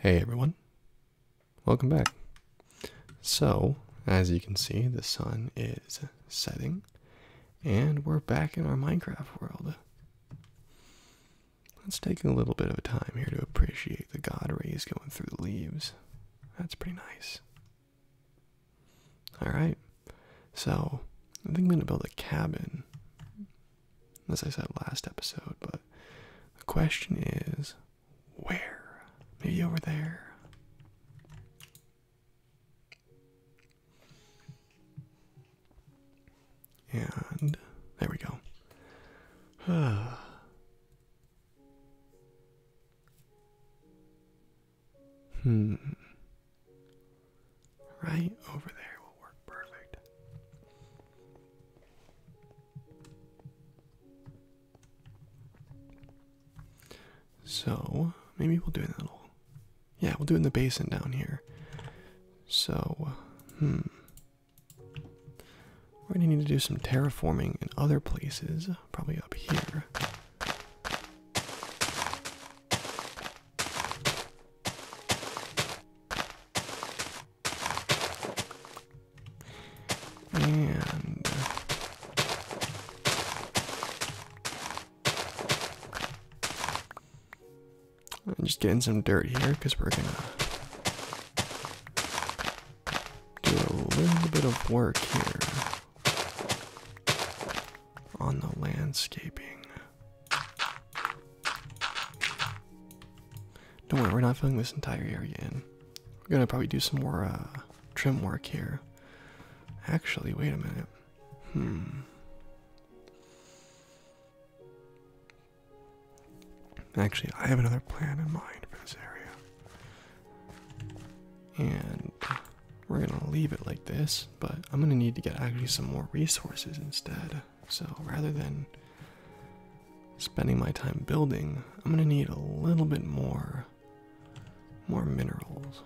Hey everyone, welcome back. So, as you can see, the sun is setting, and we're back in our Minecraft world. It's taking a little bit of time here to appreciate the god rays going through the leaves. That's pretty nice. All right, so I think I'm gonna build a cabin, as I said last episode. But the question is, where? Maybe over there. And there we go. Hmm. Right over there will work perfect. So, maybe we'll do it in a Yeah, we'll do it in the basin down here. So, hmm. We're going to need to do some terraforming in other places, probably up here. And I'm just getting some dirt here because we're gonna do a little bit of work here on the landscaping. Don't worry, we're not filling this entire area in. We're gonna probably do some more uh, trim work here. Actually, wait a minute. Hmm. Actually, I have another plan in mind for this area. And we're gonna leave it like this, but I'm gonna need to get actually some more resources instead. So rather than spending my time building, I'm gonna need a little bit more more minerals.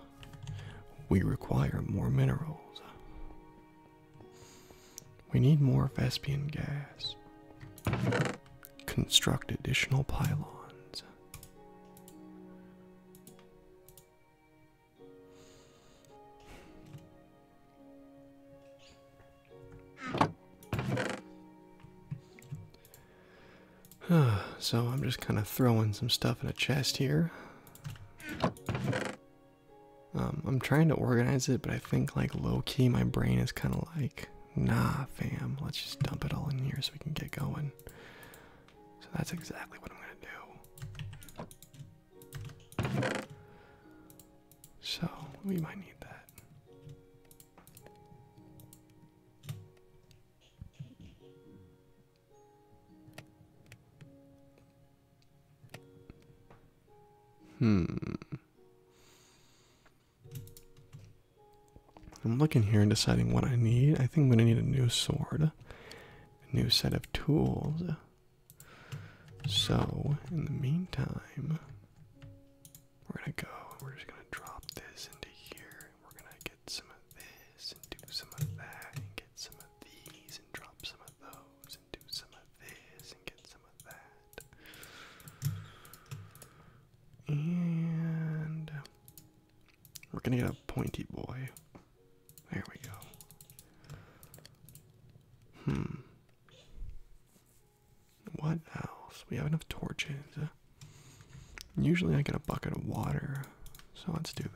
We require more minerals. We need more Vespian gas. Construct additional pylons. so I'm just kind of throwing some stuff in a chest here. Um, I'm trying to organize it, but I think like low-key my brain is kind of like, nah fam, let's just dump it all in here so we can get going. So that's exactly what I'm going to do. So we might need that. Hmm. I'm looking here and deciding what I need. I think I'm going to need a new sword, a new set of tools. So, in the meantime, we're going to go. We're just going to drop this into here. We're going to get some of this and do some of that and get some of these and drop some of those and do some of this and get some of that. And we're gonna get a pointy boy. There we go. Hmm. What else? We have enough torches. Usually I get a bucket of water, so let's do that.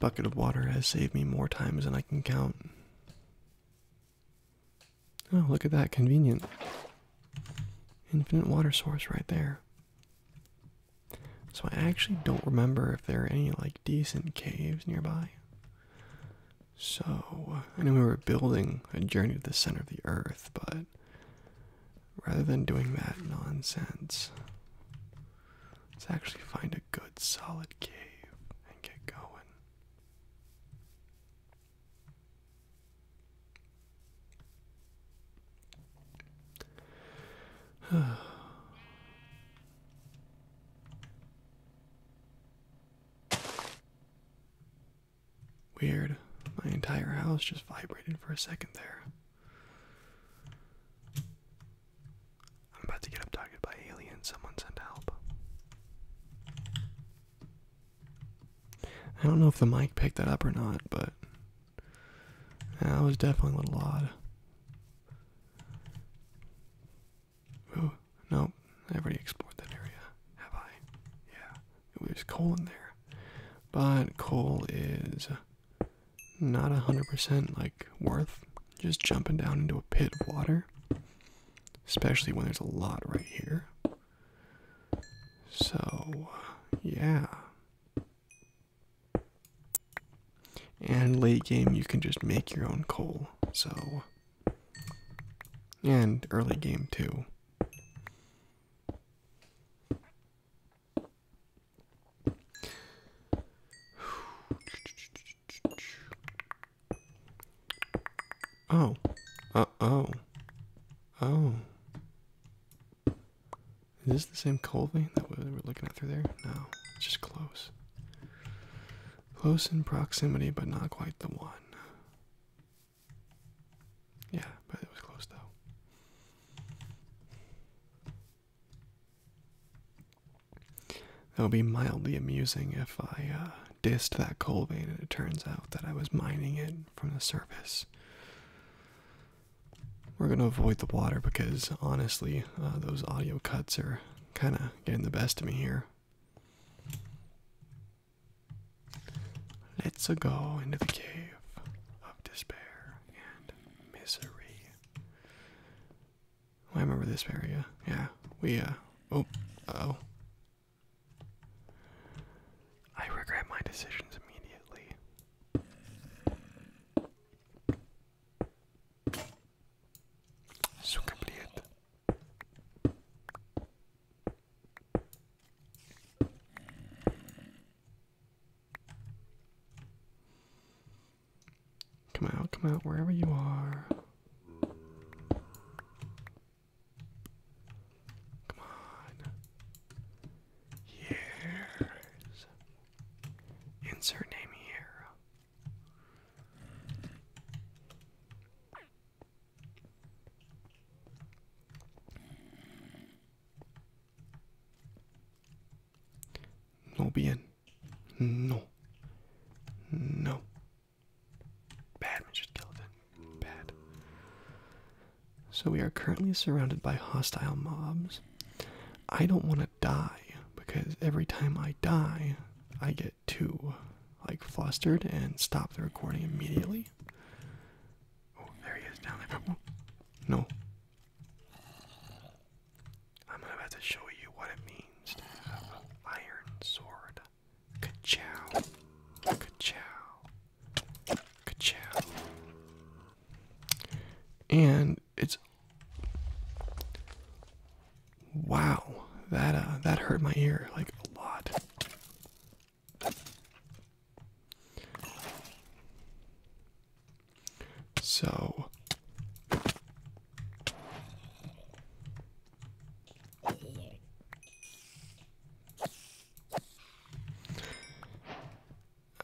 Bucket of water has saved me more times than I can count. Oh, look at that. Convenient. Infinite water source right there. So I actually don't remember if there are any like decent caves nearby. So I know we were building a journey to the center of the earth, but rather than doing that nonsense, let's actually find a good solid cave and get going. Weird. My entire house just vibrated for a second there. I'm about to get abducted by aliens. Someone send help. I don't know if the mic picked that up or not, but that was definitely a little odd. Ooh, nope. I already explored that area. Have I? Yeah. there's coal in there. But coal is not 100% like worth just jumping down into a pit of water especially when there's a lot right here. So, yeah. And late game, you can just make your own coal. So, and early game too. Oh. Uh oh. Oh. Is this the same Colby that we were looking at through there? No, just close. Close in proximity, but not quite the one. Yeah, but it was close though. That would be mildly amusing if I uh, dissed that coal vein and it turns out that I was mining it from the surface. We're going to avoid the water because honestly, uh, those audio cuts are kind of getting the best of me here. Let's go into the cave of despair and misery. Oh, I remember this area. Yeah, we, uh, oh, uh oh. I regret my decisions immediately. So complete. Come out, come out, wherever you are. Come on. Yes. Insert name here. No bien. No. No. Bad, Mr. Skeleton. Bad. So we are currently surrounded by hostile mobs. I don't want to die because every time I die, I get too like flustered and stop the recording immediately. Oh, there he is down there. no. I'm about to show you what it means to have an iron sword. Ka-chow. Ka-chow. Ka-chow. And it's Wow, that uh that hurt my ear like a lot. So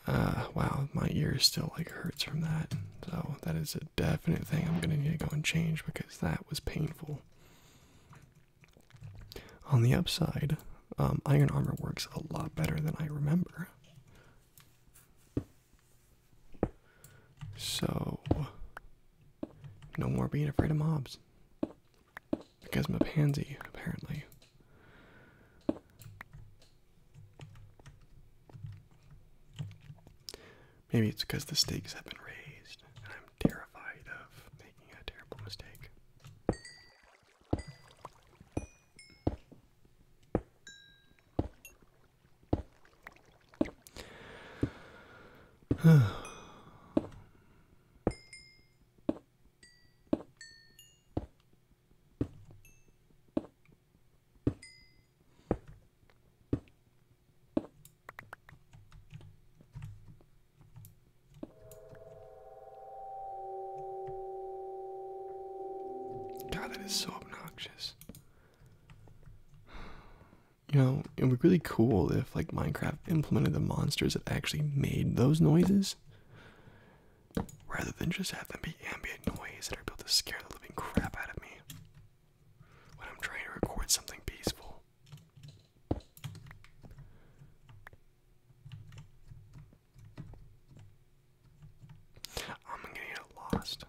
uh, wow, my ear still like hurts from that. So that is a definite thing I'm gonna need to go and change because that was painful. On the upside, um, iron armor works a lot better than I remember. So no more being afraid of mobs. Because I'm a pansy, apparently. Maybe it's because the stakes have been raised, and I'm terrified of making a terrible mistake. God, that is so obnoxious you know, it would be really cool if like Minecraft implemented the monsters that actually made those noises rather than just have them be ambient noise that are built to scare the living crap out of me when I'm trying to record something peaceful. I'm gonna get lost.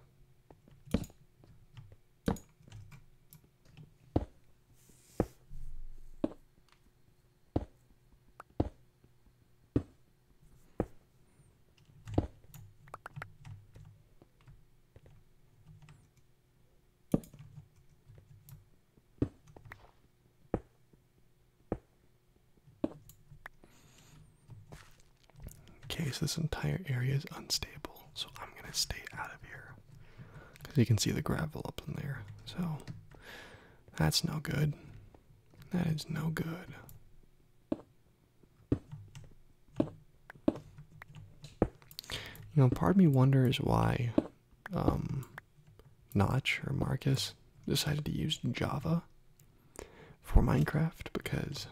Okay, so this entire area is unstable, so I'm gonna stay out of here because you can see the gravel up in there. So that's no good. That is no good. You know, part of me wonders why um, Notch or Marcus decided to use Java for Minecraft because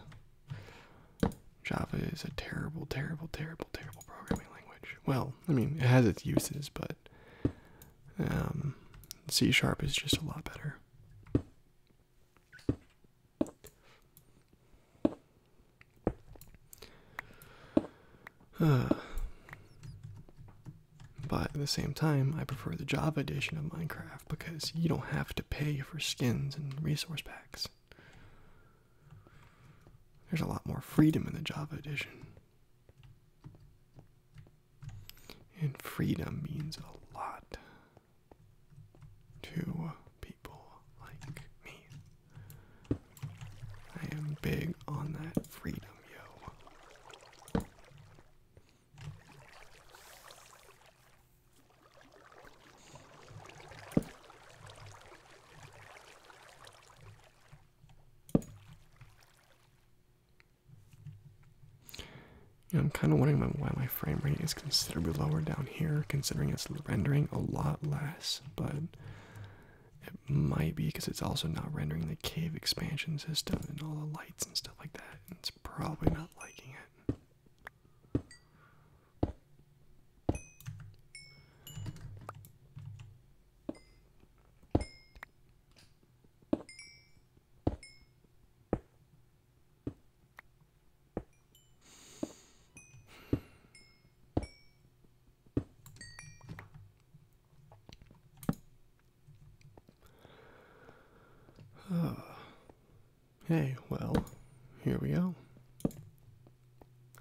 Java is a terrible, terrible, terrible, terrible programming language. Well, I mean, it has its uses, but um, C sharp is just a lot better. Uh, but at the same time, I prefer the Java edition of Minecraft because you don't have to pay for skins and resource packs. There's a lot more freedom in the Java edition. And freedom means a lot to people like me. I am big on that freedom, yo. I'm kind of wondering why my frame rate is considerably lower down here, considering it's rendering a lot less, but it might be because it's also not rendering the cave expansion system and all the lights and stuff like that. it's probably not liking it. Hey, well, here we go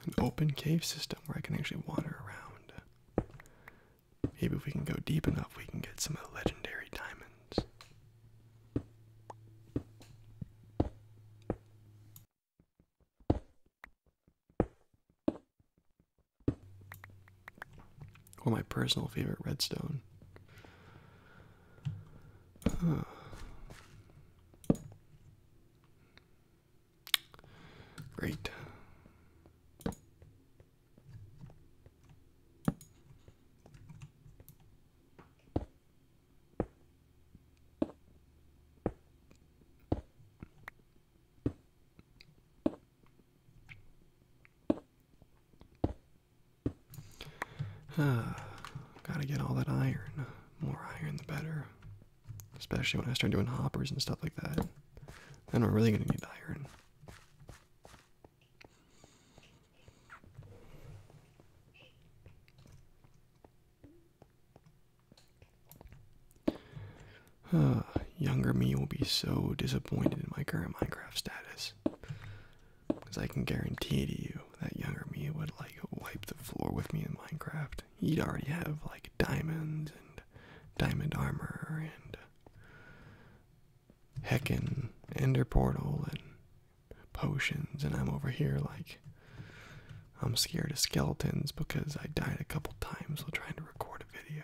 an open cave system where I can actually wander around. Maybe if we can go deep enough, we can get some of the legendary diamonds. Well, my personal favorite redstone. Great. Ah, gotta get all that iron. More iron, the better. Especially when I start doing hoppers and stuff like that. Then we're really going to need iron. Uh, younger me will be so disappointed in my current Minecraft status. Because I can guarantee to you that younger me would like wipe the floor with me in Minecraft left, he'd already have like diamonds and diamond armor and heckin' ender portal and potions. And I'm over here like I'm scared of skeletons because I died a couple times while trying to record a video.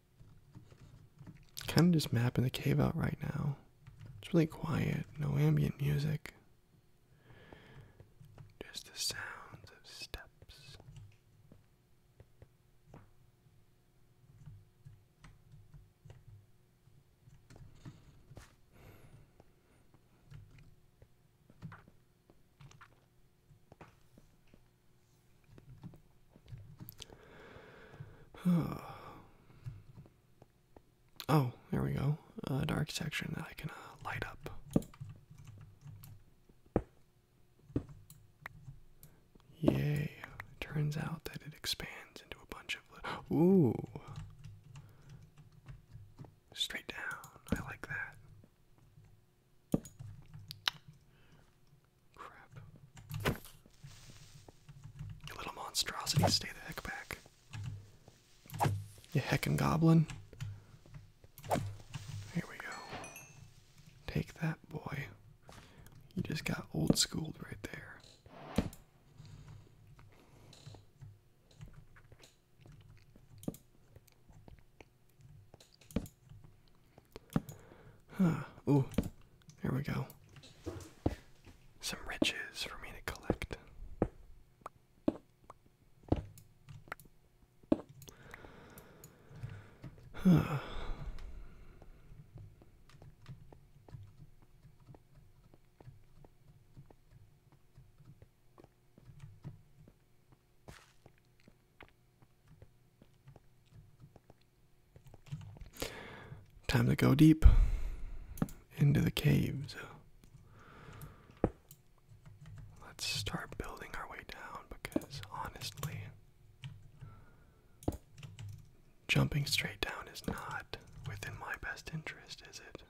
Kind of just mapping the cave out right now. It's really quiet, no ambient music. Just the sounds of steps. oh, there we go. A dark section that I can uh, light up. Yay. Turns out that it expands into a bunch of. Ooh. Straight down. I like that. Crap. You little monstrosity, stay the heck back. You heckin' goblin. Here we go. Take that, boy. You just got old schooled right there. Huh. Ooh, here we go. Some riches for me to collect. Time to go deep into the caves. Let's start building our way down because honestly, jumping straight down is not within my best interest, is it?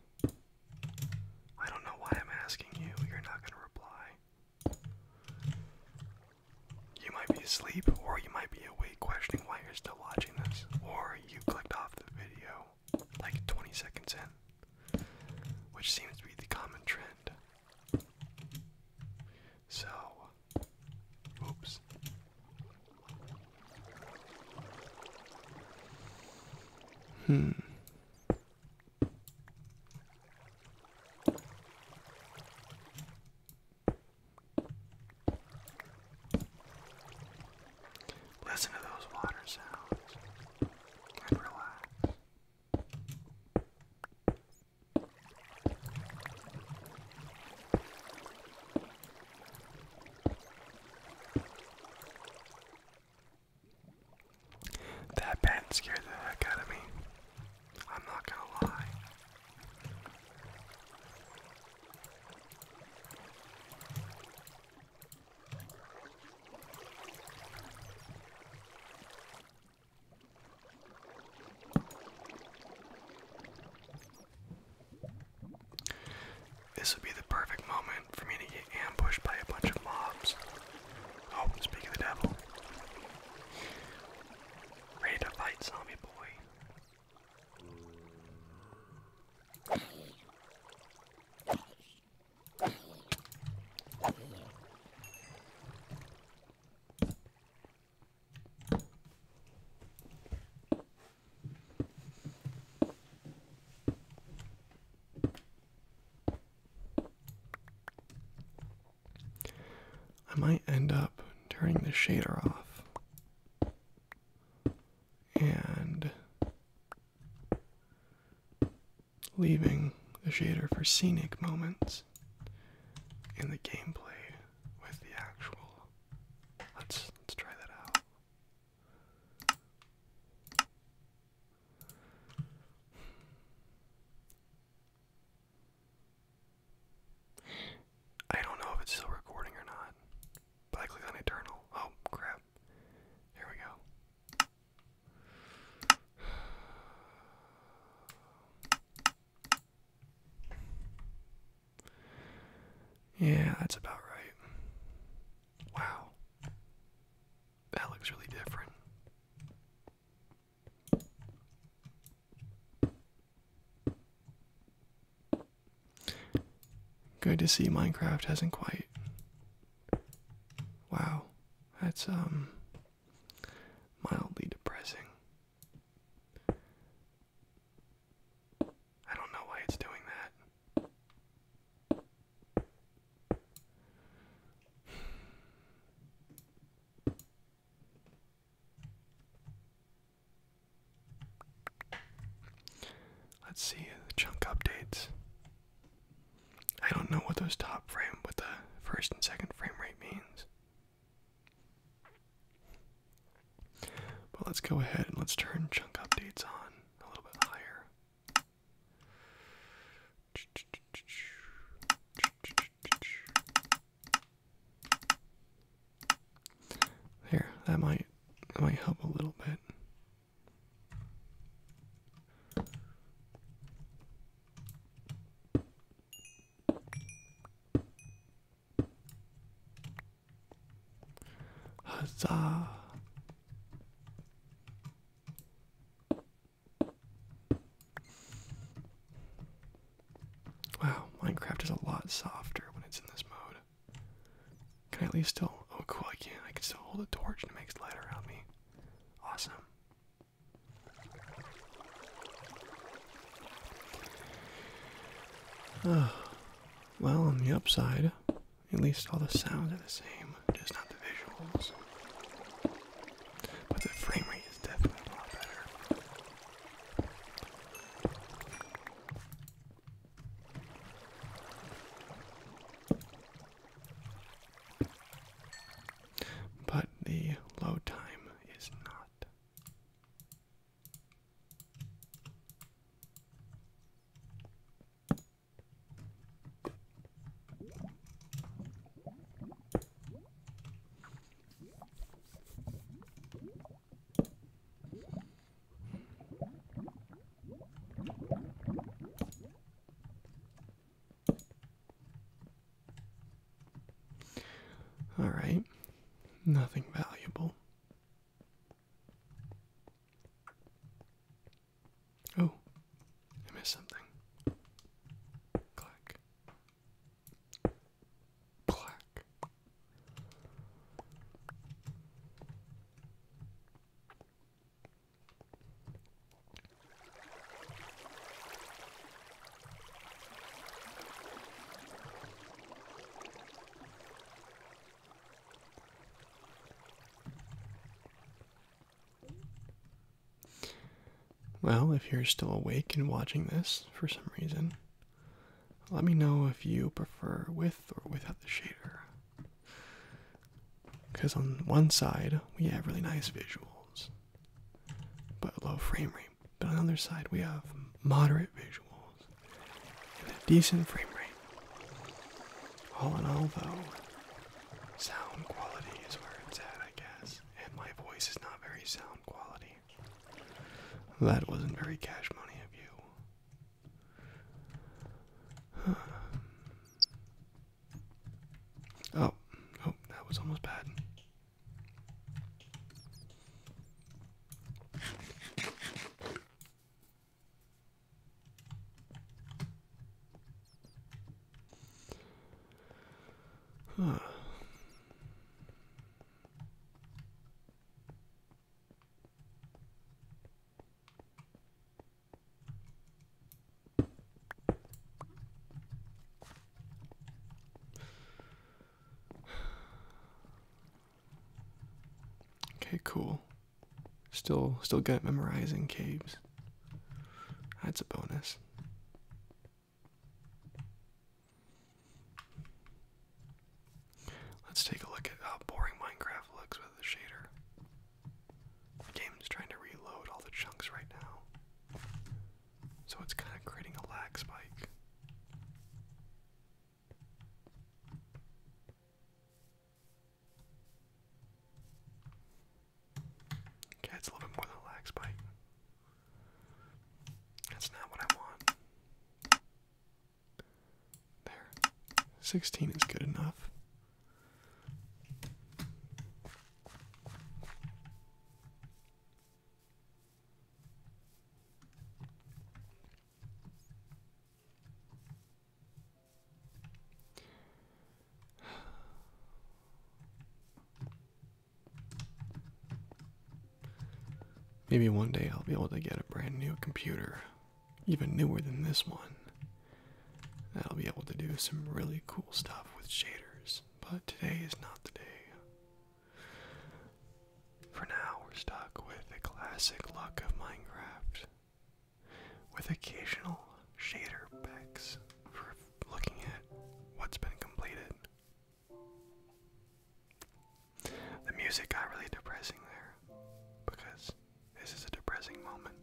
I don't know why I'm asking you. You're not going to reply. You might be asleep, or you might be awake questioning why you're still watching this, or you clicked off the video like 20 seconds in, which seems to be the common trend. So, oops. Hmm. Listen to those water sounds and relax. That bat scared the heck out of me. I'm not gonna lie. This would be the perfect moment for me to get ambushed by a bunch of mobs. Oh, speak of the devil. Ready to fight, zombie boy. I might end up turning the shader off and leaving the shader for scenic moments in the gameplay with the actual let's let's try that out I don't know if it's still recording or not, but I clicked on Eternal. Oh, crap. Here we go. Yeah, that's about right. Wow. That looks really different. Good to see Minecraft hasn't quite. Wow, that's um mildly depressing. I don't know why it's doing that. Let's see the chunk updates. I don't know what those top frame with the first and second frame rate means. But let's go ahead and let's turn chunk updates on a little bit higher. There, that might might help a little bit. Huzzah. Wow, Minecraft is a lot softer when it's in this mode. Can I at least still? Oh, cool! I can. I can still hold a torch and it makes light around me. Awesome. well, on the upside, at least all the sounds are the same, just not the visuals. But the frame rate is definitely a lot better. But the load time is not. All right, nothing valuable. Oh, I missed something. Clack. Well, if you're still awake and watching this for some reason, let me know if you prefer with or without the shader. Because on one side, we have really nice visuals, but low frame rate. But on the other side, we have moderate visuals and a decent frame rate. All in all, though, sound quality is where it's at, I guess. And my voice is not very sound quality. That wasn't very cash money of you. Oh, oh, that was almost bad. Okay, cool. Still still good at memorizing caves. That's a bonus. Let's take a look at how boring Minecraft looks with the shader. The game's trying to reload all the chunks right now. So it's kind of creating a lag spike. Okay, it's a little bit more than a lag spike. That's not what I want. There. 16 is good enough. Maybe one day I'll be able to get a brand new computer, even newer than this one. I'll be able to do some really cool stuff with shaders, but today is not the day. For now, we're stuck with the classic luck of Minecraft, with occasional shader packs for looking at what's been completed. The music got really depressing there because this is a depressing moment.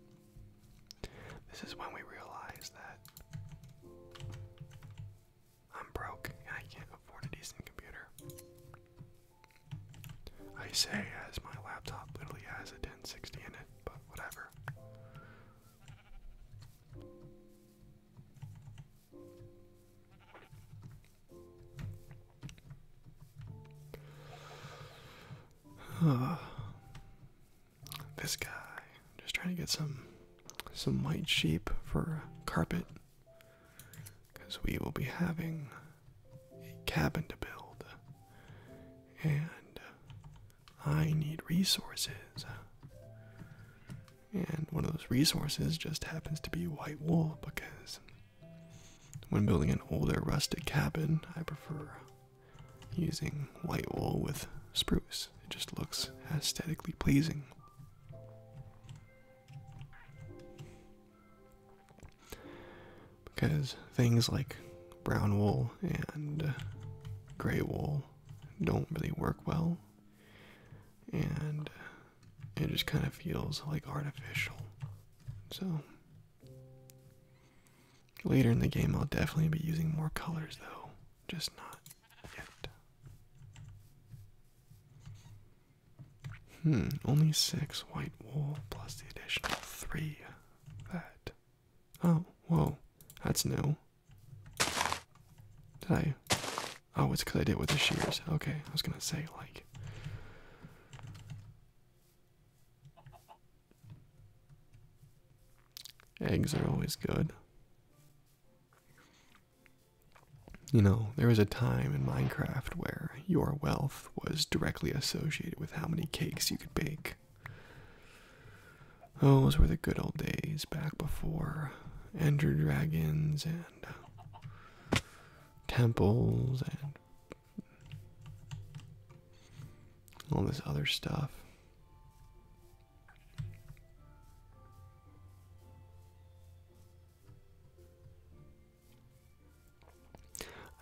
This is when we realize that I'm broke I can't afford a decent computer. I say as my laptop literally has a 1060 in it, but whatever. Uh, this guy just trying to get some some white sheep for carpet because we will be having a cabin to build and uh, I need resources and one of those resources just happens to be white wool because when building an older rustic cabin, I prefer using white wool with spruce. It just looks aesthetically pleasing. Because things like brown wool and gray wool don't really work well, and it just kind of feels like artificial. So, later in the game, I'll definitely be using more colors though, just not yet. Hmm, only six white wool plus the additional three. That. Oh, whoa, that's new. Did I Oh, it's because I did it with the shears. Okay, I was gonna say, like. Eggs are always good. You know, there was a time in Minecraft where your wealth was directly associated with how many cakes you could bake. Oh, those were the good old days back before Ender Dragons and temples and all this other stuff.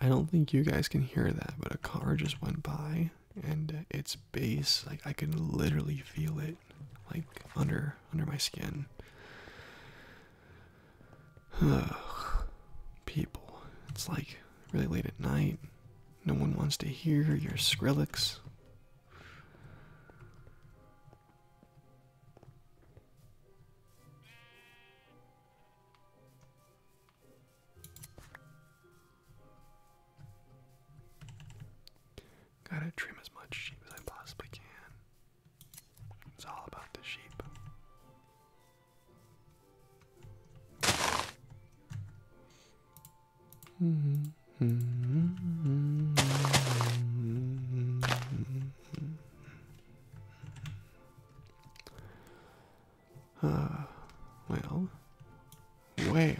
I don't think you guys can hear that, but a car just went by and its bass like I can literally feel it like under under my skin. People, it's like really late at night. No one wants to hear your Skrillex. Gotta trim as much sheep as I possibly can. It's all about the sheep. Uh, well, well,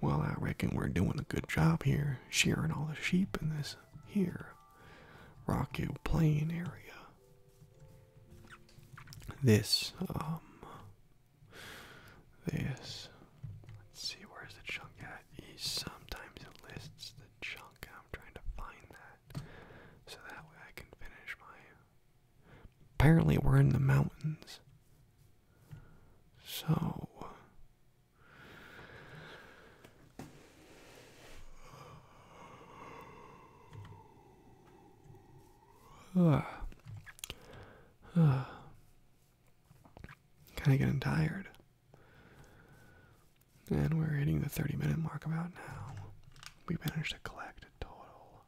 well, I reckon we're doing a good job here, shearing all the sheep in this here Rocky Plain area. This, um, this, let's see, where's the chunk at? He Sometimes lists the chunk, I'm trying to find that so that way I can finish my. Apparently, we're in the mountains. So, Ugh. Ugh. Kind of getting tired. And we're hitting the 30 minute mark about now. We have managed to collect a total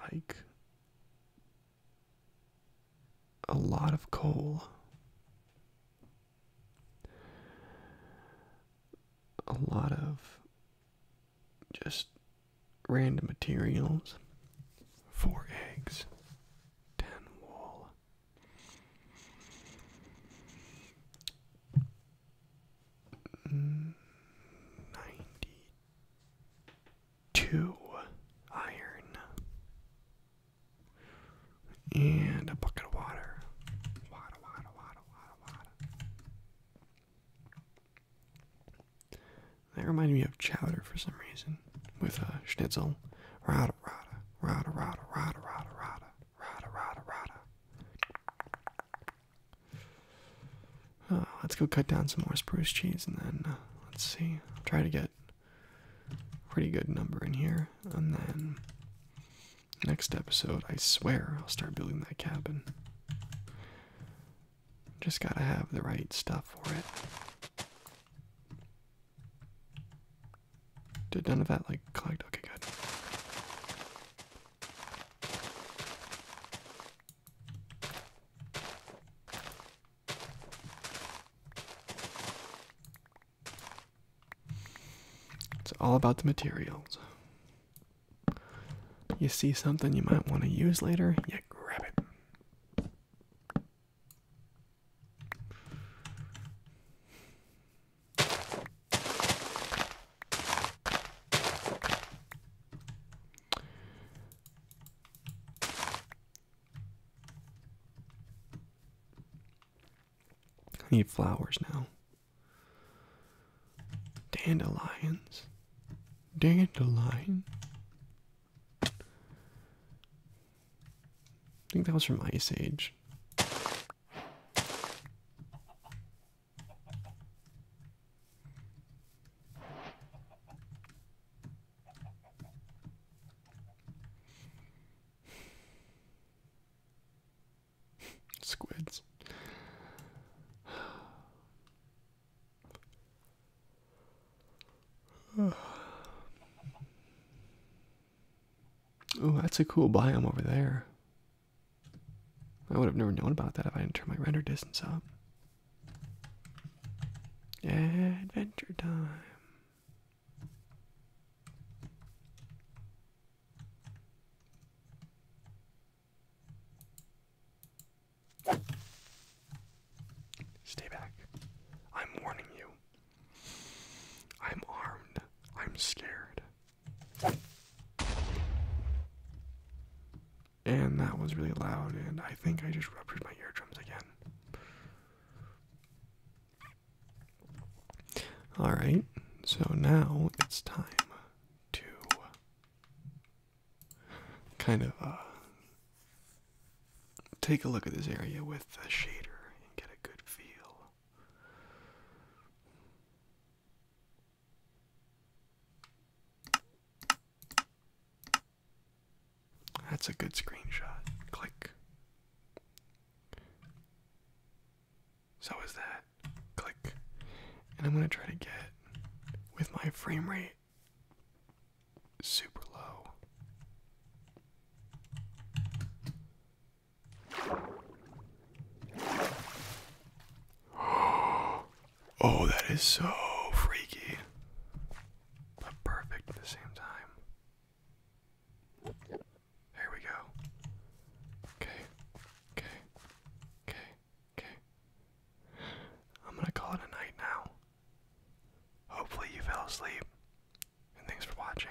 like a lot of coal. A lot of just random materials. Four eggs, ten wool. 92 iron and a bucket of water. That reminded me of chowder for some reason with a schnitzel. rada, rada, rada, rada, rada, rada, rada, rada, rada. Uh, let's go cut down some more spruce trees and then uh, let's see. try to get a pretty good number in here. And then next episode, I swear, I'll start building that cabin. Just gotta have the right stuff for it. Did none of that like collect? Okay, good. It's all about the materials. You see something you might want to use later, you grab it. I need flowers now. Dandelions. Dandelion. I think that was from Ice Age. Squids. oh, that's a cool biome over there. I would have never known about that if I didn't turn my render distance up. Adventure time. Stay back. I'm warning you. I'm armed. I'm scared and that was really loud, and I think I just ruptured my eardrums again. Alright, so now it's time to kind of uh, take a look at this area with the shader and get a good feel. That's a good screenshot. Click. So is that. Click. And I'm going to try to get, with my frame rate super low. Oh, Oh, that is so freaky. But perfect at the same time. Here we go. Okay, okay, okay, okay. I'm gonna call it a night now. Hopefully, you fell asleep. And thanks for watching.